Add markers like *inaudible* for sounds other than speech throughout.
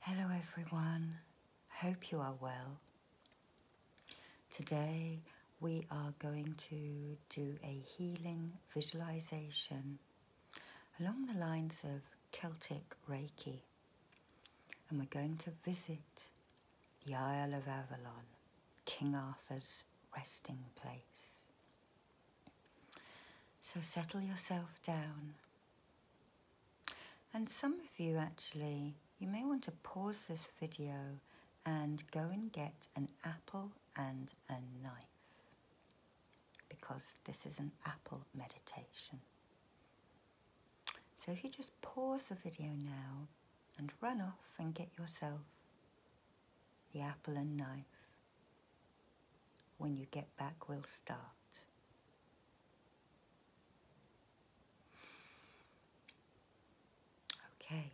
Hello everyone, hope you are well. Today we are going to do a healing visualization along the lines of Celtic Reiki and we're going to visit the Isle of Avalon, King Arthur's resting place. So settle yourself down. And some of you actually, you may want to pause this video and go and get an apple and a knife because this is an apple meditation. So if you just pause the video now and run off and get yourself the apple and knife. When you get back, we'll start. Okay,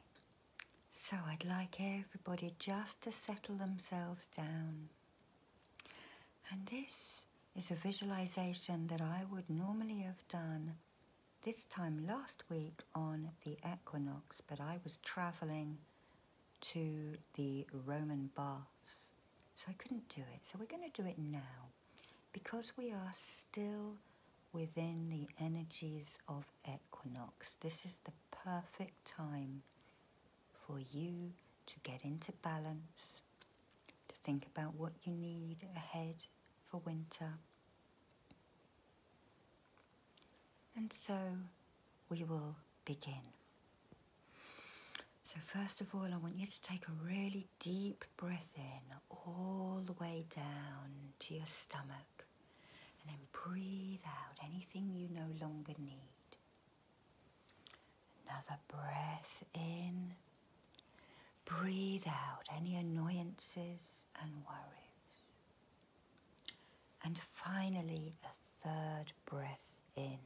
so I'd like everybody just to settle themselves down. And this is a visualization that I would normally have done this time last week on the equinox, but I was traveling to the Roman baths. So I couldn't do it. So we're going to do it now because we are still within the energies of equinox. This is the perfect time for you to get into balance, to think about what you need ahead for winter. And so we will begin. So, first of all, I want you to take a really deep breath in all the way down to your stomach and then breathe out anything you no longer need. Another breath in. Breathe out any annoyances and worries. And finally, a third breath in.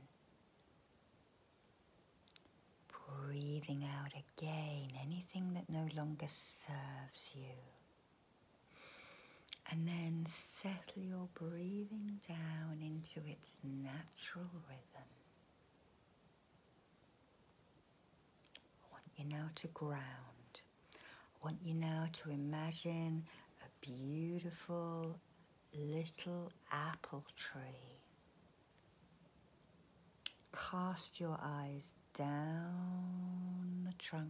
Breathing out again anything that no longer serves you. And then settle your breathing down into its natural rhythm. I want you now to ground. I want you now to imagine a beautiful little apple tree. Cast your eyes down the trunk.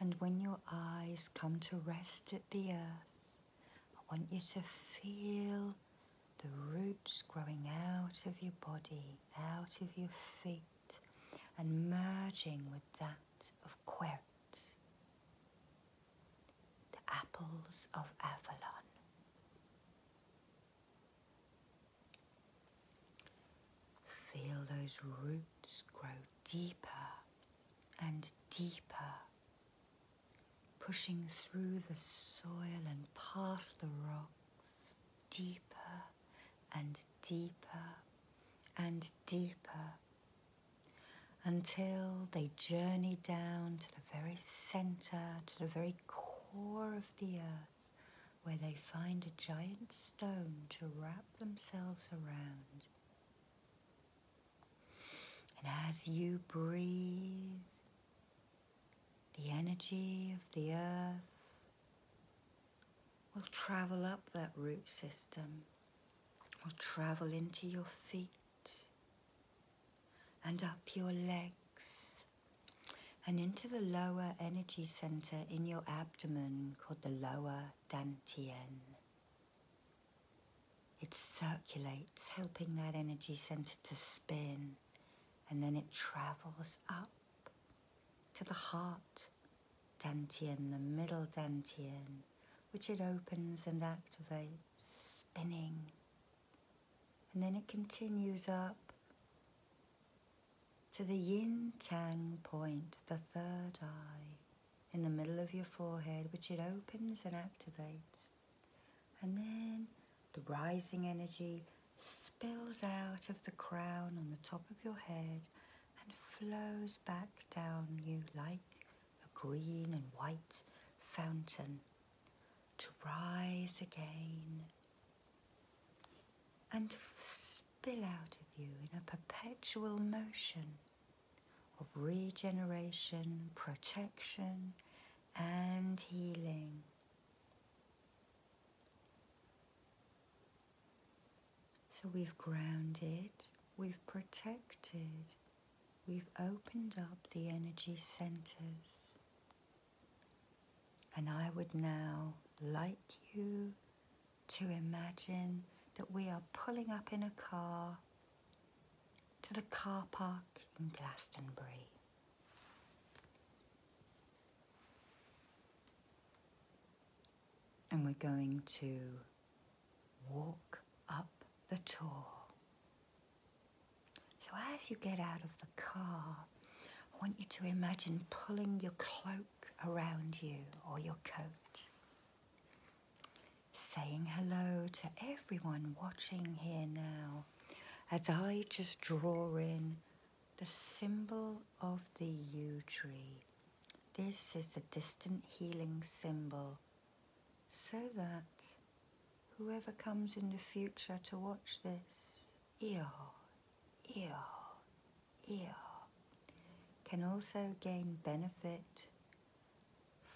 And when your eyes come to rest at the earth, I want you to feel the roots growing out of your body, out of your feet, and merging with that of Querc the apples of Avalon. Feel those roots grow deeper and deeper, pushing through the soil and past the rocks, deeper and deeper and deeper until they journey down to the very center, to the very core of the earth, where they find a giant stone to wrap themselves around. And as you breathe, the energy of the earth will travel up that root system will travel into your feet and up your legs and into the lower energy center in your abdomen called the lower dantian. It circulates, helping that energy center to spin, and then it travels up to the heart dantian, the middle dantian, which it opens and activates, spinning. And then it continues up to the yin tang point, the third eye, in the middle of your forehead, which it opens and activates. And then the rising energy spills out of the crown on the top of your head and flows back down you like a green and white fountain to rise again and spill out of you in a perpetual motion of regeneration, protection, and healing. So we've grounded, we've protected, we've opened up the energy centers. And I would now like you to imagine that we are pulling up in a car to the car park in Glastonbury. And we're going to walk up the tour. So, as you get out of the car, I want you to imagine pulling your cloak around you or your coat, saying hello to everyone watching here now as I just draw in the symbol of the yew tree this is the distant healing symbol, so that whoever comes in the future to watch this, ear, ear, ear, can also gain benefit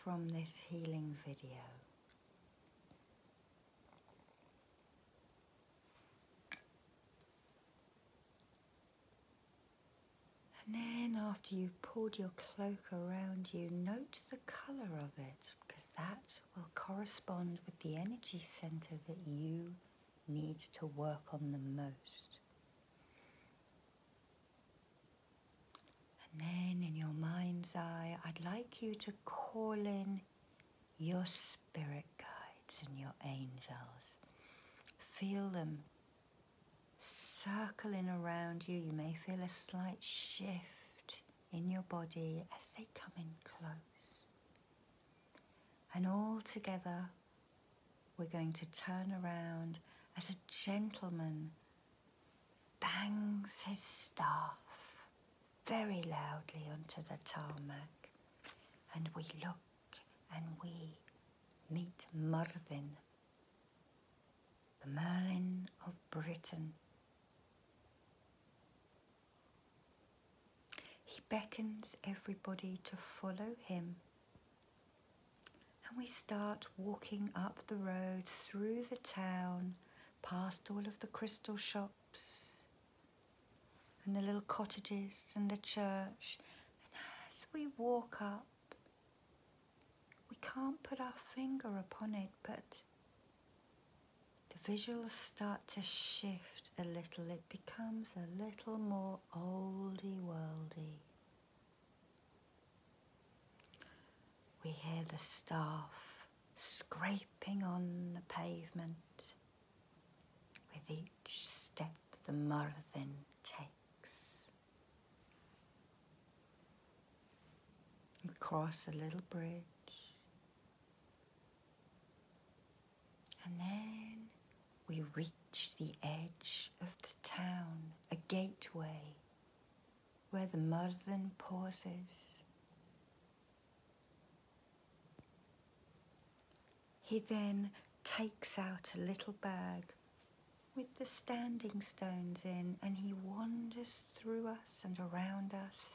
from this healing video. And then, after you've pulled your cloak around you, note the colour of it because that will correspond with the energy centre that you need to work on the most. And then, in your mind's eye, I'd like you to call in your spirit guides and your angels. Feel them circling around you. You may feel a slight shift in your body as they come in close. And all together, we're going to turn around as a gentleman bangs his staff very loudly onto the tarmac. And we look and we meet Merlin, the Merlin of Britain. He beckons everybody to follow him. And we start walking up the road through the town, past all of the crystal shops and the little cottages and the church. And as we walk up, we can't put our finger upon it, but the visuals start to shift a little. It becomes a little more oldie worldy. We hear the staff scraping on the pavement with each step the murthin takes. We cross a little bridge. And then we reach the edge of the town, a gateway where the Murden pauses. He then takes out a little bag with the standing stones in, and he wanders through us and around us,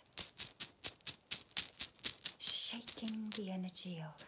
shaking the energy off.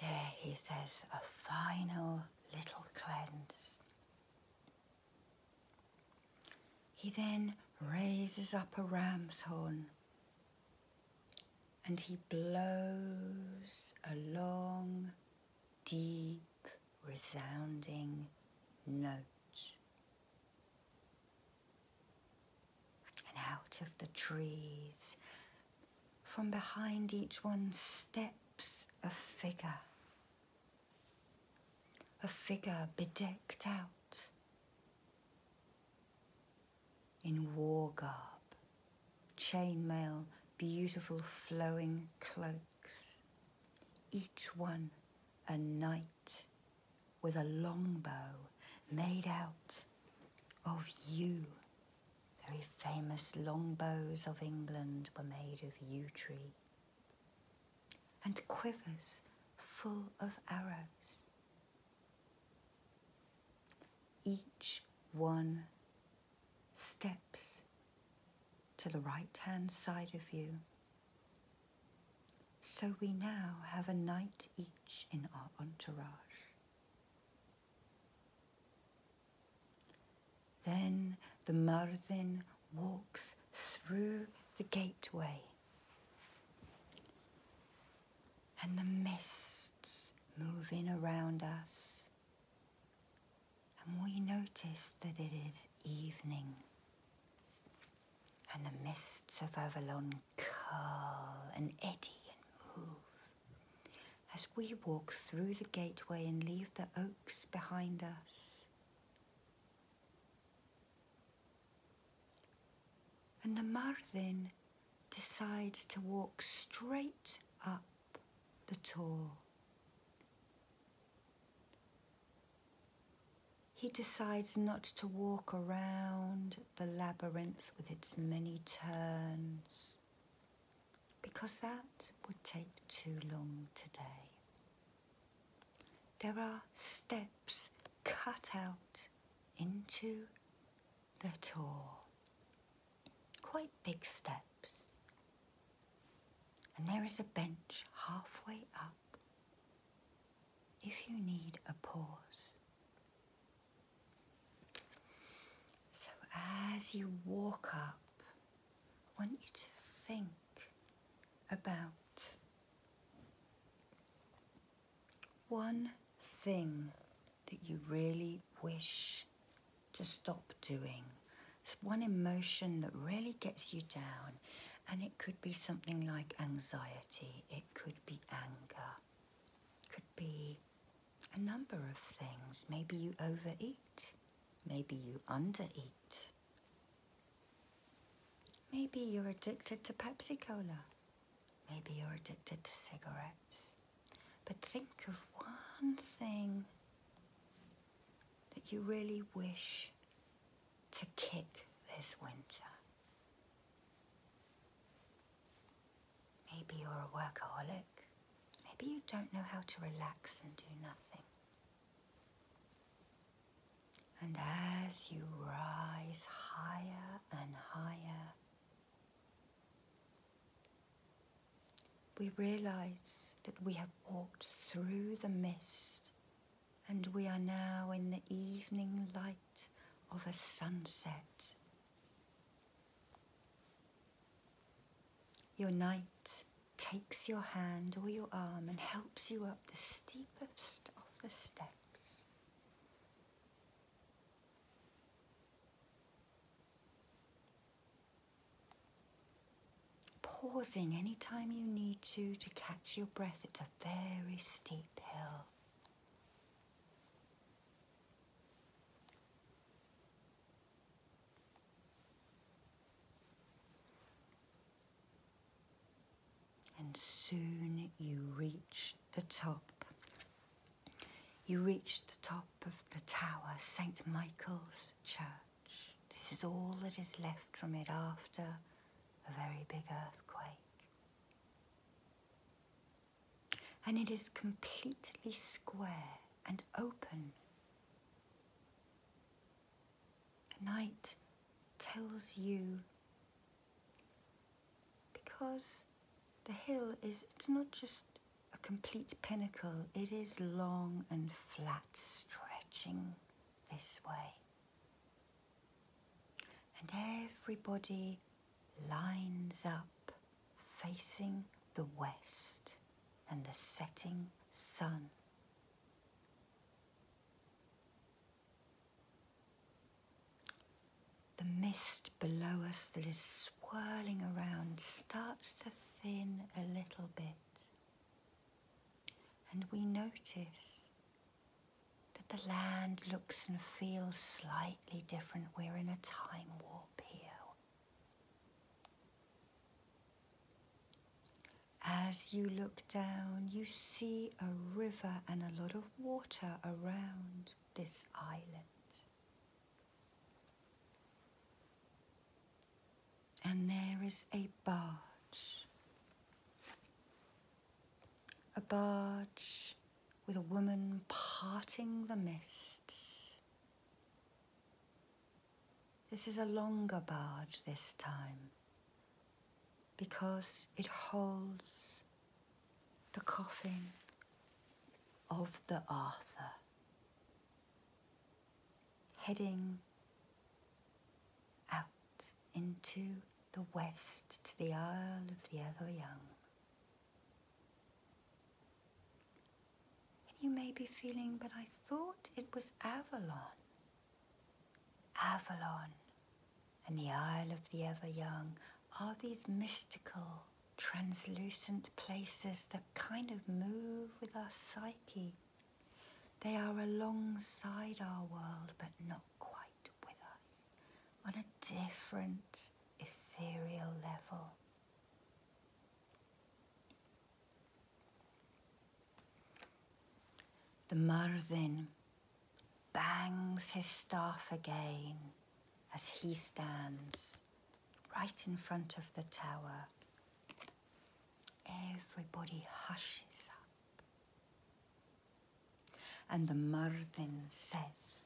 There he says, a final little cleanse. He then raises up a ram's horn and he blows a long, deep, resounding note. And out of the trees, from behind each one steps a figure, a figure bedecked out in war garb, chainmail, beautiful flowing cloaks, each one a knight with a longbow made out of yew. Very famous longbows of England were made of yew tree, and quivers full of arrows, each one steps to the right hand side of you. So we now have a knight each in our entourage. Then the Murzin walks through the gateway and the mists moving around us. And we notice that it is evening. And the mists of Avalon curl and eddy and move. As we walk through the gateway and leave the oaks behind us, and the Marvin decides to walk straight up the tor. He decides not to walk around the labyrinth with its many turns because that would take too long today. There are steps cut out into the tour. Quite big steps. And there is a bench halfway up if you need a pause. So as you walk up, I want you to think about one thing that you really wish to stop doing. It's one emotion that really gets you down. And it could be something like anxiety, it could be anger, it could be a number of things. Maybe you overeat, maybe you undereat, maybe you're addicted to Pepsi Cola. Maybe you're addicted to cigarettes. But think of one thing that you really wish to kick this winter. Maybe you're a workaholic. Maybe you don't know how to relax and do nothing. And as you rise higher and higher. We realize that we have walked through the mist and we are now in the evening light of a sunset. Your knight takes your hand or your arm and helps you up the steepest of the steps. Pausing any time you need to to catch your breath. It's a very steep hill and soon you reach the top. You reach the top of the tower, St. Michael's Church. This is all that is left from it after a very big earthquake. And it is completely square and open. The knight tells you because the hill is it's not just a complete pinnacle, it is long and flat, stretching this way. And everybody lines up facing the west and the setting sun. The mist below us that is swirling around starts to thin a little bit, and we notice that the land looks and feels slightly different. We're in a time warp here. As you look down, you see a river and a lot of water around this island. And there is a barge. A barge with a woman parting the mists. This is a longer barge this time because it holds the coffin of the Arthur. Heading out into the west to the Isle of the Other Young. you may be feeling, but I thought it was Avalon. Avalon, and the Isle of the Ever Young are these mystical, translucent places that kind of move with our psyche. They are alongside our world, but not quite with us, on a different ethereal level. The Marvin bangs his staff again as he stands right in front of the tower. Everybody hushes up. And the Murthin says,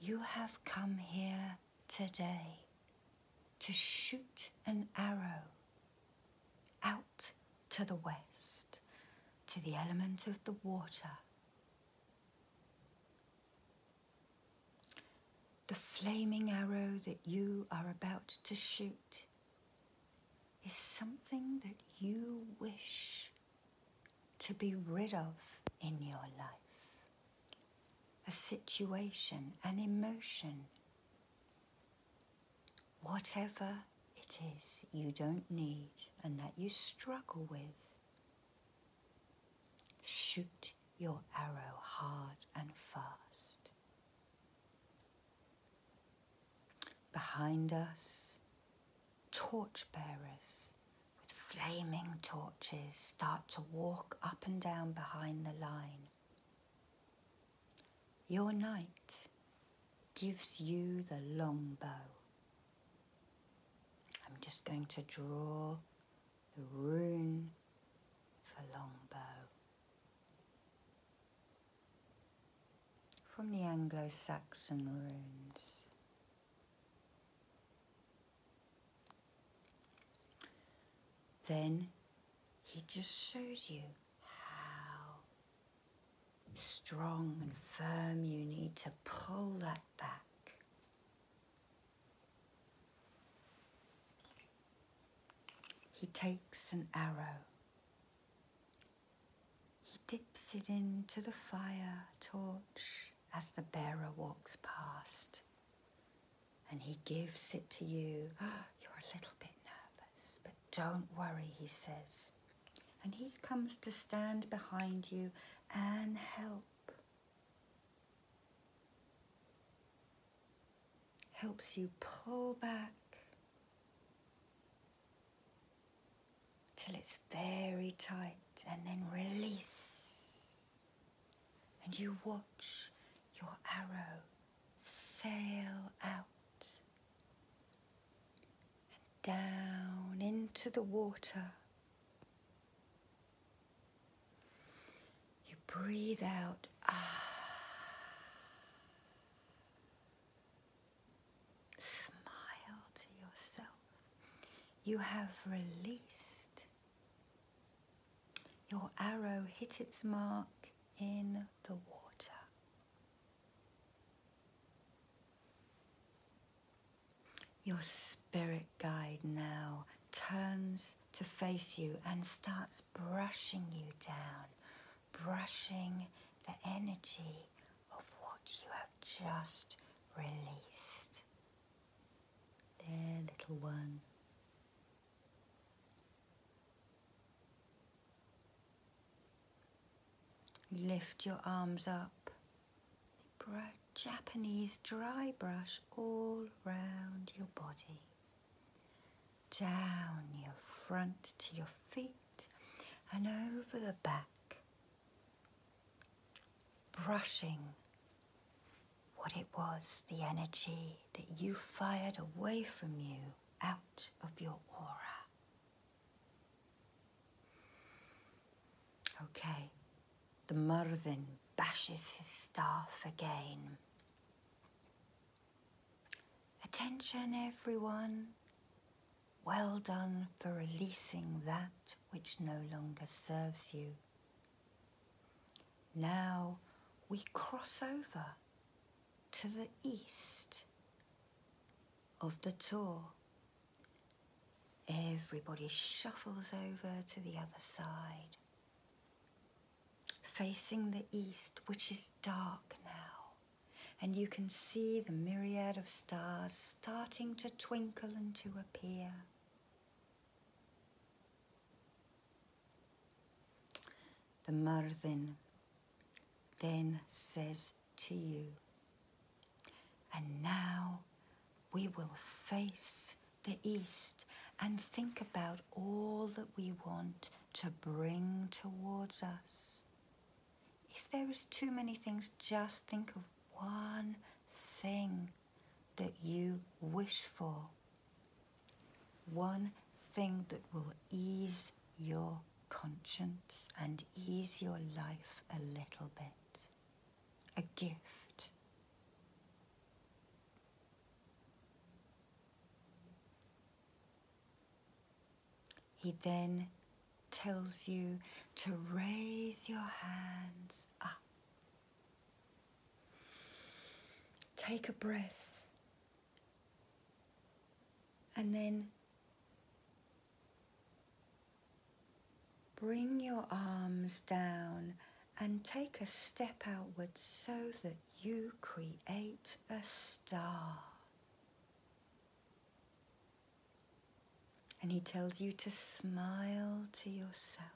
You have come here today to shoot an arrow out to the west, to the element of the water. The flaming arrow that you are about to shoot is something that you wish to be rid of in your life. A situation, an emotion, whatever it is you don't need and that you struggle with. Shoot your arrow hard and fast. Behind us, torch bearers with flaming torches start to walk up and down behind the line. Your night gives you the long bow. I'm just going to draw the rune for longbow. From the Anglo-Saxon runes. Then he just shows you how strong and firm, you need to pull that back. He takes an arrow. He dips it into the fire torch as the bearer walks past. And he gives it to you. *gasps* You're a little bit nervous, but don't worry, he says. And he comes to stand behind you and help. Helps you pull back till it's very tight and then release. And you watch your arrow sail out down into the water. You breathe out. Ah. Smile to yourself. You have released. Your arrow hit its mark in the water. Your spirit guide now turns to face you and starts brushing you down, brushing the energy of what you have just released. There, little one. Lift your arms up. Japanese dry brush all round your body. Down your front to your feet and over the back. Brushing what it was, the energy that you fired away from you out of your aura. Okay, the Murzin bashes his staff again. Attention, everyone. Well done for releasing that which no longer serves you. Now we cross over to the east of the Tor Everybody shuffles over to the other side, facing the east, which is dark now, and you can see the myriad of stars starting to twinkle and to appear. The Murthin then says, to you. And now we will face the east and think about all that we want to bring towards us. If there is too many things, just think of one thing that you wish for. One thing that will ease your conscience and ease your life a little bit. A gift. He then tells you to raise your hands up. Take a breath and then Bring your arms down and take a step outward so that you create a star. And he tells you to smile to yourself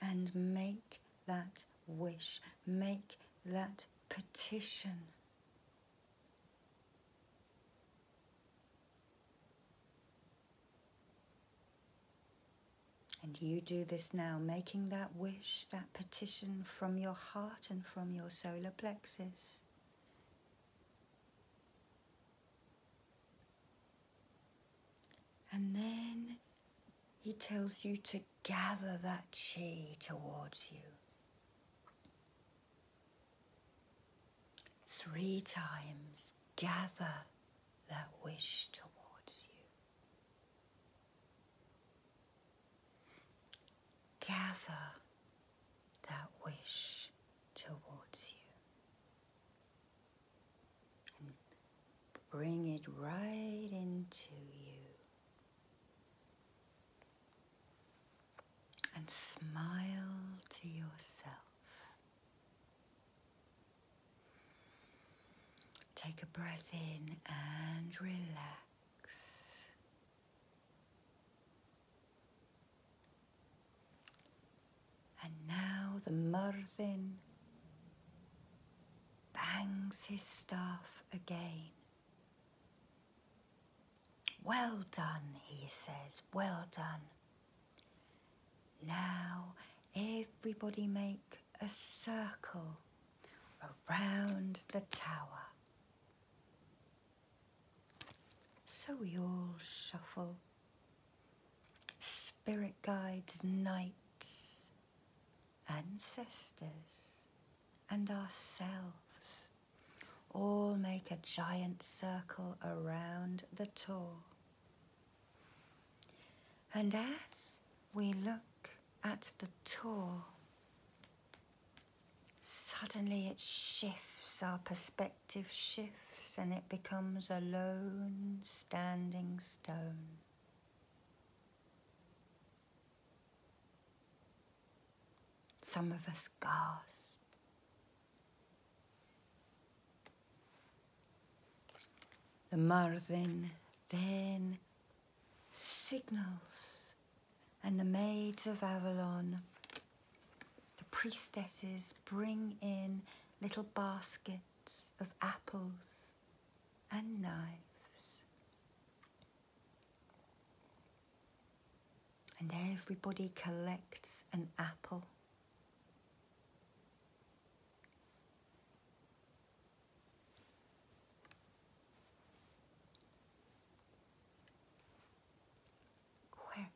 and make that wish, make that petition and you do this now, making that wish, that petition from your heart and from your solar plexus. And then he tells you to gather that chi towards you. Three times gather that wish towards you. Gather that wish towards you. And bring it right into you and smile to yourself. Take a breath in and relax. And now the Murthin bangs his staff again. Well done, he says, well done. Now everybody make a circle around the tower. So we all shuffle. Spirit guides, knights, ancestors, and ourselves all make a giant circle around the tor, And as we look at the tor, suddenly it shifts, our perspective shifts, and it becomes a lone standing stone. Some of us gasp. The Marthin then signals, and the maids of Avalon, the priestesses, bring in little baskets of apples and knives. And everybody collects an apple. Quert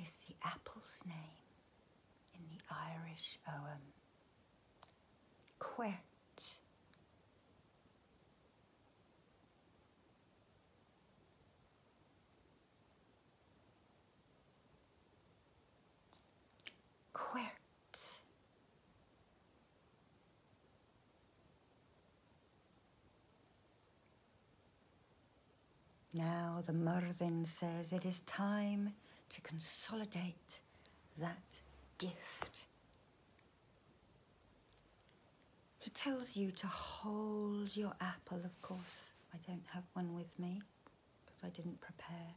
is the apple's name in the Irish Oum quit. Quit. Now the Murdin says it is time to consolidate that gift he tells you to hold your apple, of course. I don't have one with me because I didn't prepare.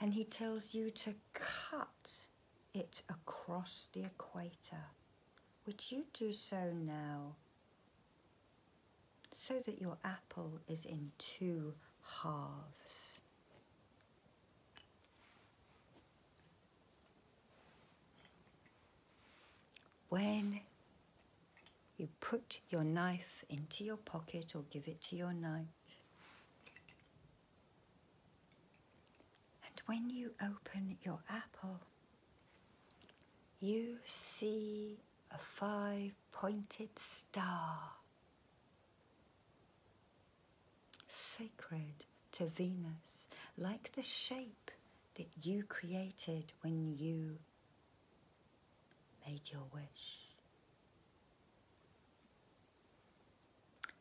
And he tells you to cut it across the equator. Would you do so now? So that your apple is in two halves. When you put your knife into your pocket or give it to your knight, and when you open your apple, you see a five pointed star sacred to Venus, like the shape that you created when you made your wish.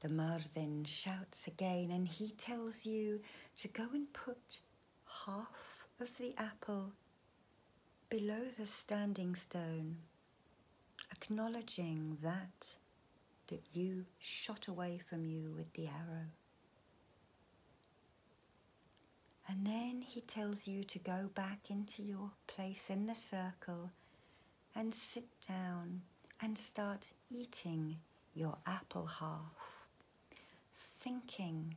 The Marden shouts again and he tells you to go and put half of the apple below the standing stone acknowledging that that you shot away from you with the arrow. And then he tells you to go back into your place in the circle and sit down and start eating your apple half, thinking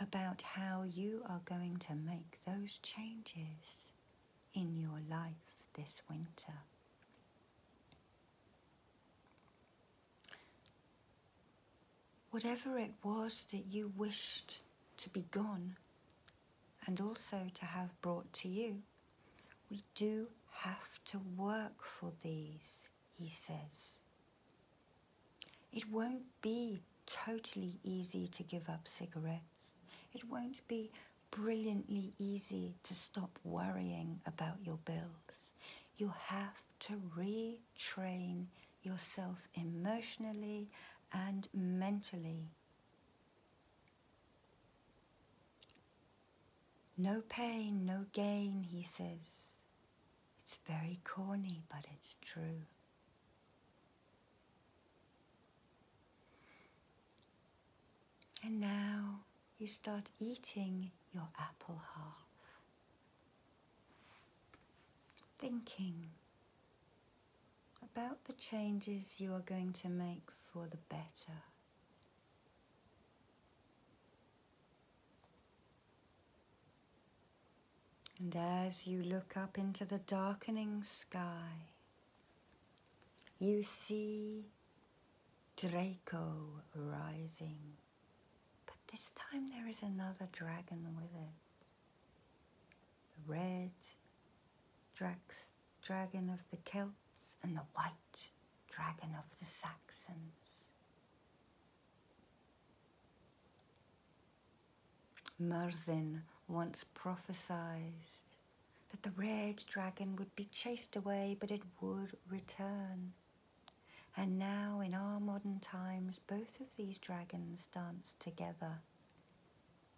about how you are going to make those changes in your life this winter. Whatever it was that you wished to be gone and also to have brought to you, we do have to work for these, he says. It won't be totally easy to give up cigarettes. It won't be brilliantly easy to stop worrying about your bills. You have to retrain yourself emotionally and mentally. No pain, no gain, he says. It's very corny, but it's true. And now you start eating your apple half, thinking about the changes you are going to make for the better. And as you look up into the darkening sky, you see Draco rising. But this time there is another dragon with it. The red Drax, dragon of the Celts and the white dragon of the Saxons. Merlin once prophesied that the red dragon would be chased away, but it would return. And now, in our modern times, both of these dragons dance together,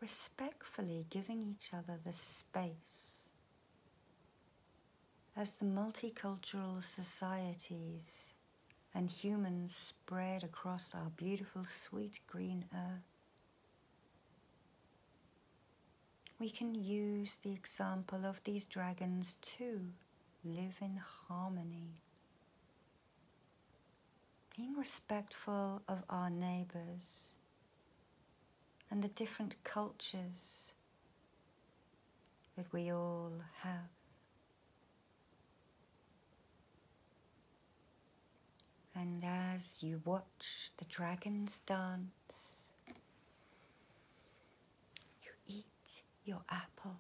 respectfully giving each other the space. As the multicultural societies and humans spread across our beautiful sweet green earth, we can use the example of these dragons to live in harmony, being respectful of our neighbours and the different cultures that we all have. And as you watch the dragons dance, you eat your apple.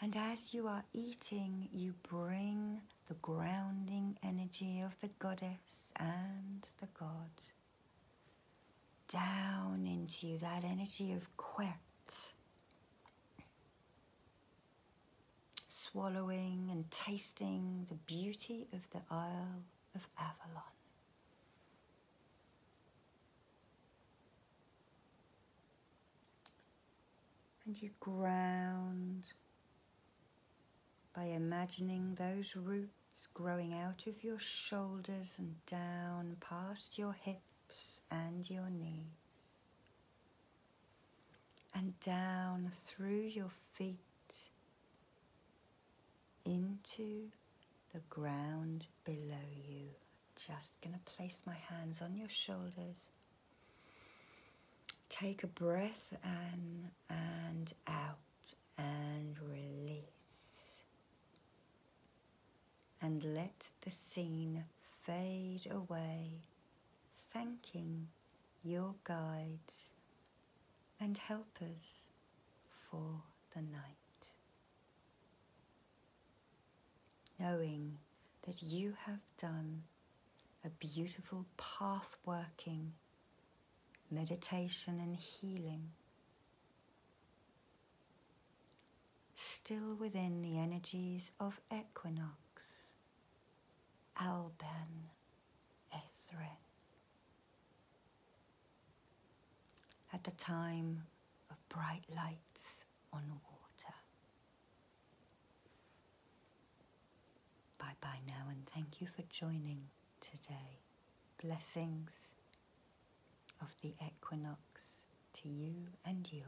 And as you are eating, you bring the grounding energy of the goddess and the god down into that energy of Quet swallowing and tasting the beauty of the Isle of Avalon. And you ground by imagining those roots growing out of your shoulders and down past your hips and your knees and down through your feet into the ground below you. Just going to place my hands on your shoulders. Take a breath in and out and release. And let the scene fade away, thanking your guides and helpers for the night. Knowing that you have done a beautiful path working meditation and healing. Still within the energies of equinox Alban Ethrin. At the time of bright lights on water. Bye bye now and thank you for joining today. Blessings of the equinox to you and yours.